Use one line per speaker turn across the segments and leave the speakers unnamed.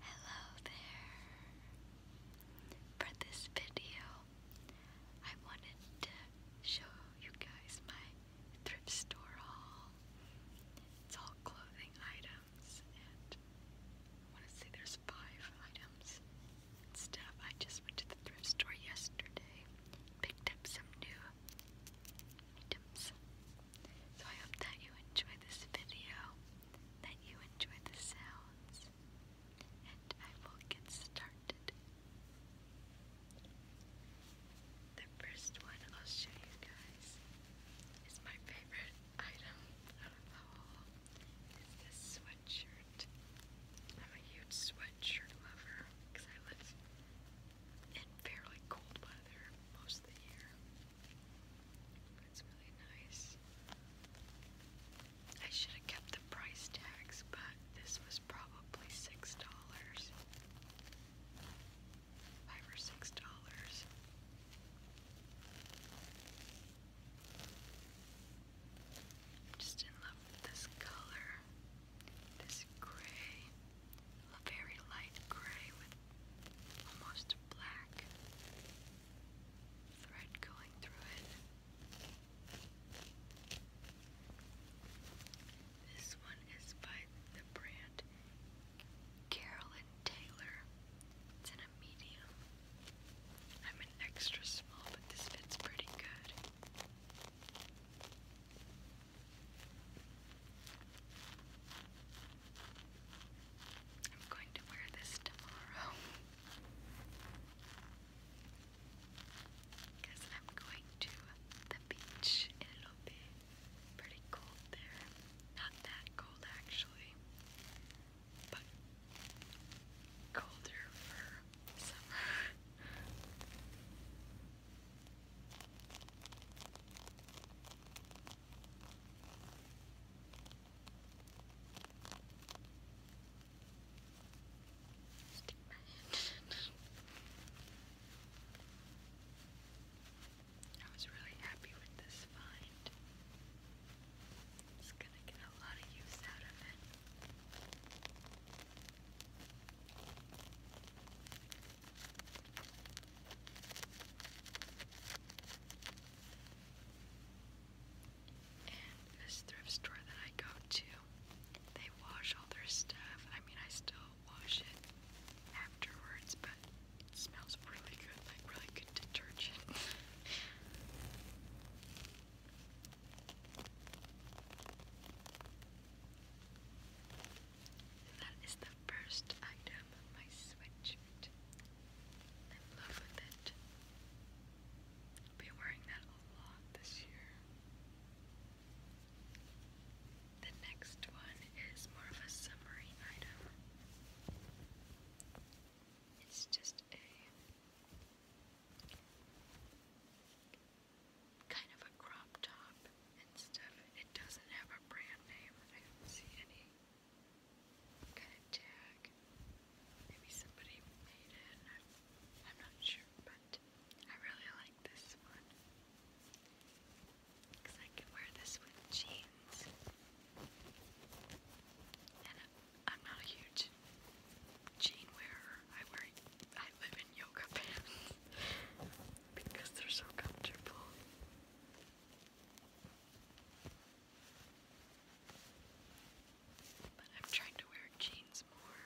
Hello there. For this video, I wanted to show you guys my thrift store haul. It's all clothing items, and I want to say there's five items stuff. I just went to the thrift store yesterday, picked up some new items. So I hope that you enjoy this video, that you enjoy the sounds, and I will get started. The first one I'll show you guys is my favorite item out of the haul. Is this sweatshirt. I'm a huge sweatshirt lover because I live in fairly cold weather most of the year. It's really nice. I should have kept the price tags, but this was probably six dollars. Five or six dollars. I'm just in love with this color. This gray, a very light gray with almost black thread going through it. This one is by the brand Carolyn Taylor. It's in medium. I'm an extra small, but this fits pretty good. I'm going to wear this tomorrow because I'm going to the beach it'll be pretty cold there. Not that cold actually, but colder for summer. Stick my hand. I was really happy with this find. It's gonna get a lot of use out of it this thrift store that I go to, they wash all their stuff. I mean, I still wash it afterwards, but smells really good, like really good detergent. That is the first item I'm in love with it. i wearing that a lot this year. The next one is more of a summery item. It's just a kind of a crop top and stuff. It doesn't have a brand name. I don't see any kind tag. Maybe somebody made it. I'm, I'm not sure, but I really like this one because I can wear this with jeans. And I'm not a huge jean wearer. I wear, I live in yoga pants because they're so comfortable. But I'm trying to wear jeans more.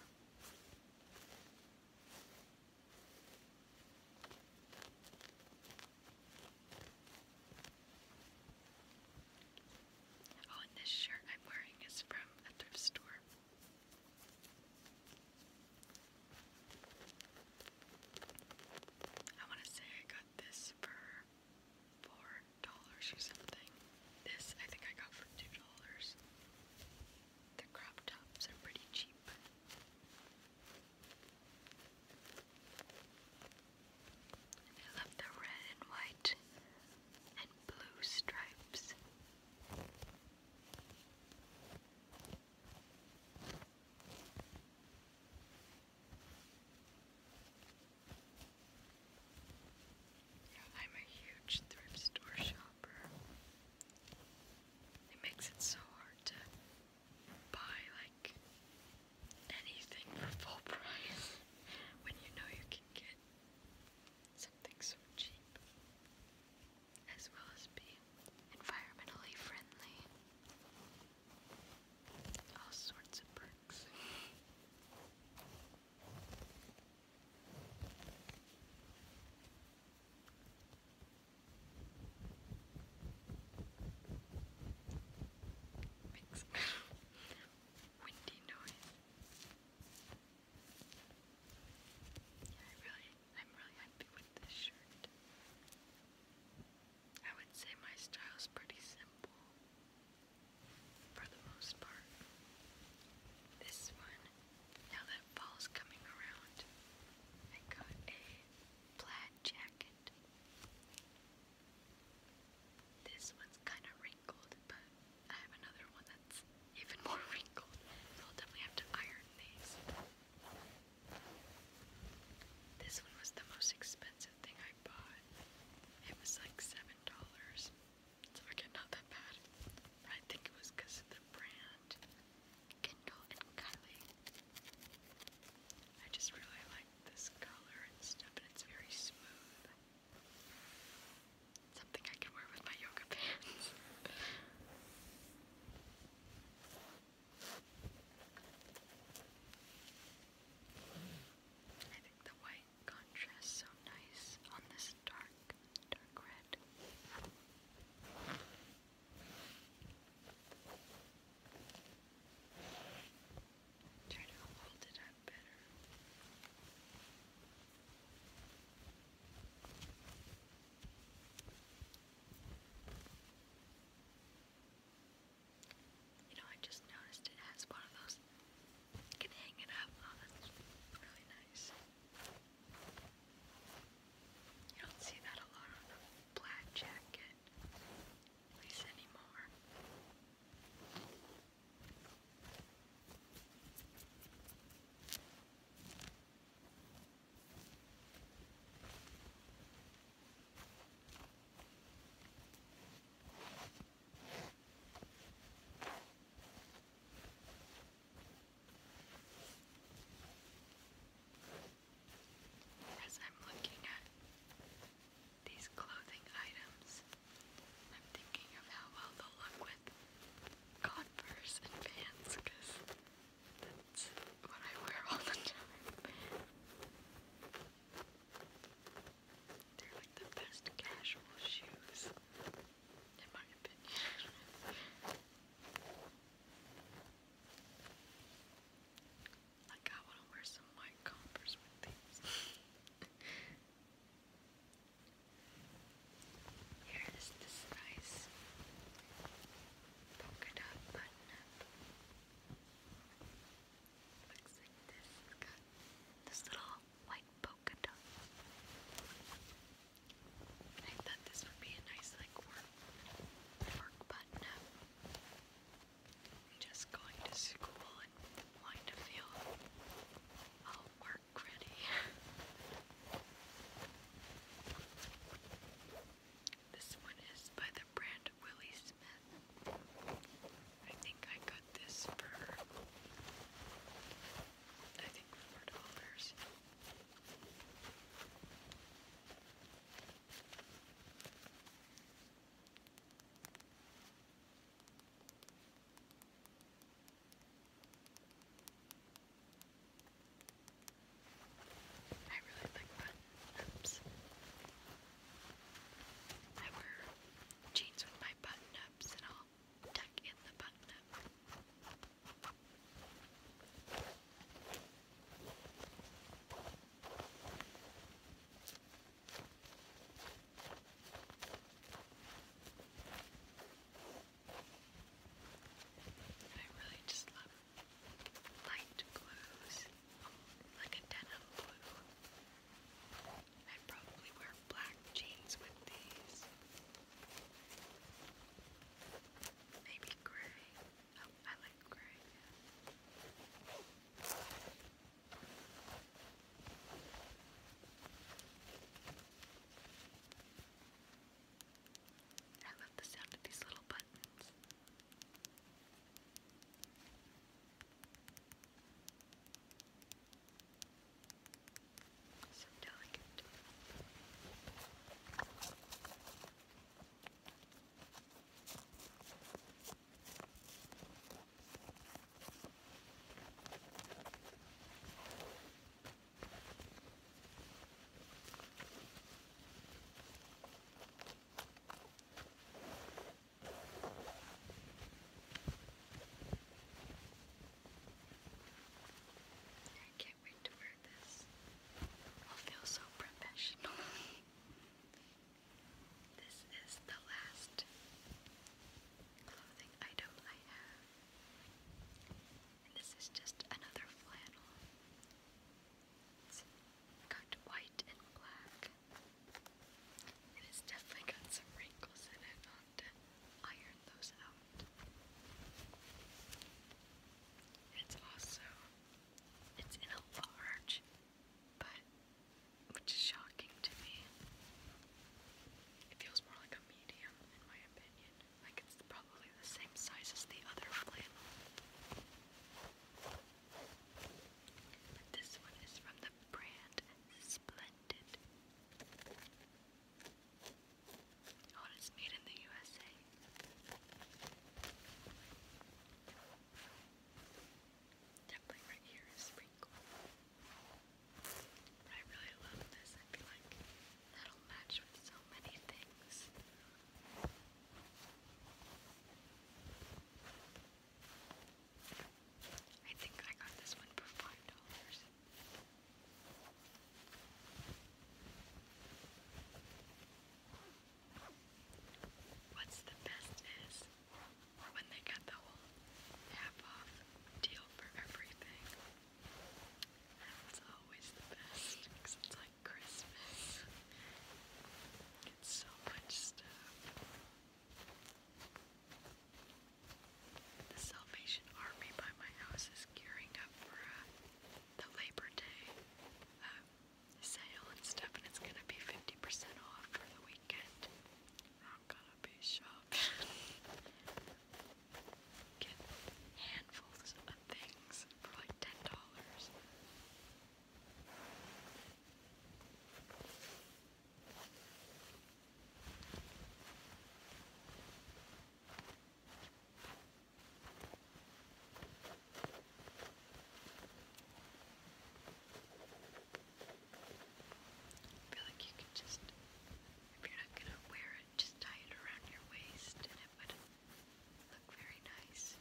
Oh, and this shirt I'm wearing is from a thrift store. I want to say I got this for four dollars or something. This I think I got for two dollars. The crop tops are pretty cheap. I love the red and white and blue stripes. I'm a huge thrift store shopper. It makes it so hard to buy like anything for full price when you know you can get something so cheap, as well as be environmentally friendly. All sorts of perks. windy noise. Yeah, I really, I'm really happy with this shirt. I would say my style's pretty simple for the most part. This one, now that fall's coming around, I got a plaid jacket. This one's kind of wrinkled, but I have another one that's even more wrinkled. So I'll definitely have to iron these. This one was the most expensive thing I bought. It was like seven dollars. It's okay, not that bad. I think it was because of the brand. Kindle and Kylie. I just really like this color and stuff, and it's very smooth. Something I can wear with my yoga pants. I think the white contrasts so nice on this dark, dark red. Try to hold it up better. You know, I just noticed it has one of those. You can hang it up. Oh, that's really nice. You don't see that a lot on a plaid jacket, at anymore. As I'm looking at these clothing items, I'm thinking of how well they look with Converse and pants that's what I wear all the time. They're like the best casual shoes, in my opinion. like I want to wear some white Converse with these. Here is this nice this. little white polka dot. I thought this would be a nice, like, work, button am just going to school and wanting to feel all work ready. This one is by the brand Willie Smith. I think I got this for, I think four dollars. I really like button-ups. I wear jeans with my button-ups and I'll in the button I really just love light blues, like a denim blue. I'd probably wear black jeans with these. Maybe gray. Oh, I like gray. I love the sound of these little buttons. So delicate. I can't wait to wear this. I'll feel so professional. this is the last clothing item I have. this is just another flannel. It's white and black. It has definitely got some wrinkles in it. I'll those out. It's also it's in a large, but which is shocking to me. It feels more like a medium in my opinion. Like it's probably probably the same size as the other flannel. But this one is from the brand Splendid. Oh, it's made in the USA. Definitely right here is sprinkle. I really love this. I feel like that'll match with so many things. I think I got this one for five dollars. What's the best is when they got the whole half off deal for everything. That's always the best because it's like Christmas. It's so much stuff. The Salvation Army by my house is gearing up for uh, the Labor Day um, sale and stuff, and it's gonna be 50% off for the weekend. I'm gonna be shopping. Get handfuls of things for like ten dollars. I feel like you could just, if you're not gonna wear it, just tie it around your waist and it would look very nice.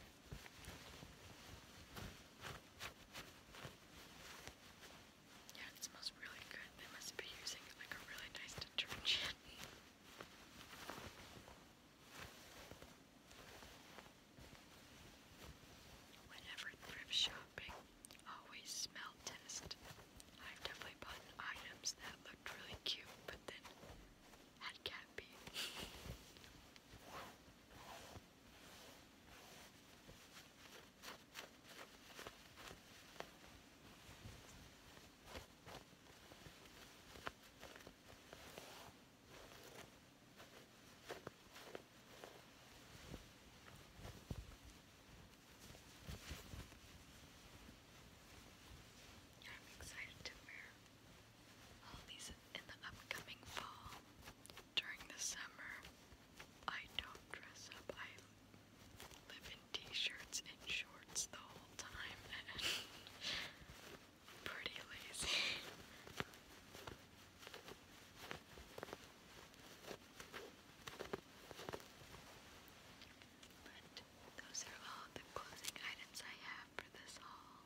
Yeah, it smells really good. They must be using like a really nice detergent. Whenever thrift shopping, always smell test. I've definitely bought items that looked really cute, but then that can't be. Yeah, I'm excited to wear all these in the upcoming fall. During the summer, I don't dress up. I am in t-shirts and shorts the whole time pretty lazy. those are all the closing items I have for this haul.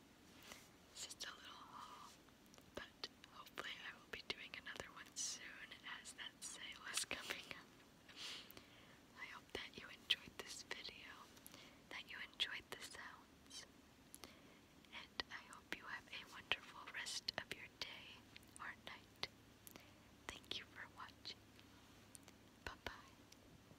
It's just a little haul, but hopefully I will be doing another one soon as that sale is coming up. I hope that you enjoyed this video, that you enjoyed the sounds, and I hope you have a wonderful rest of your day or night. Thank you for watching. Bye bye.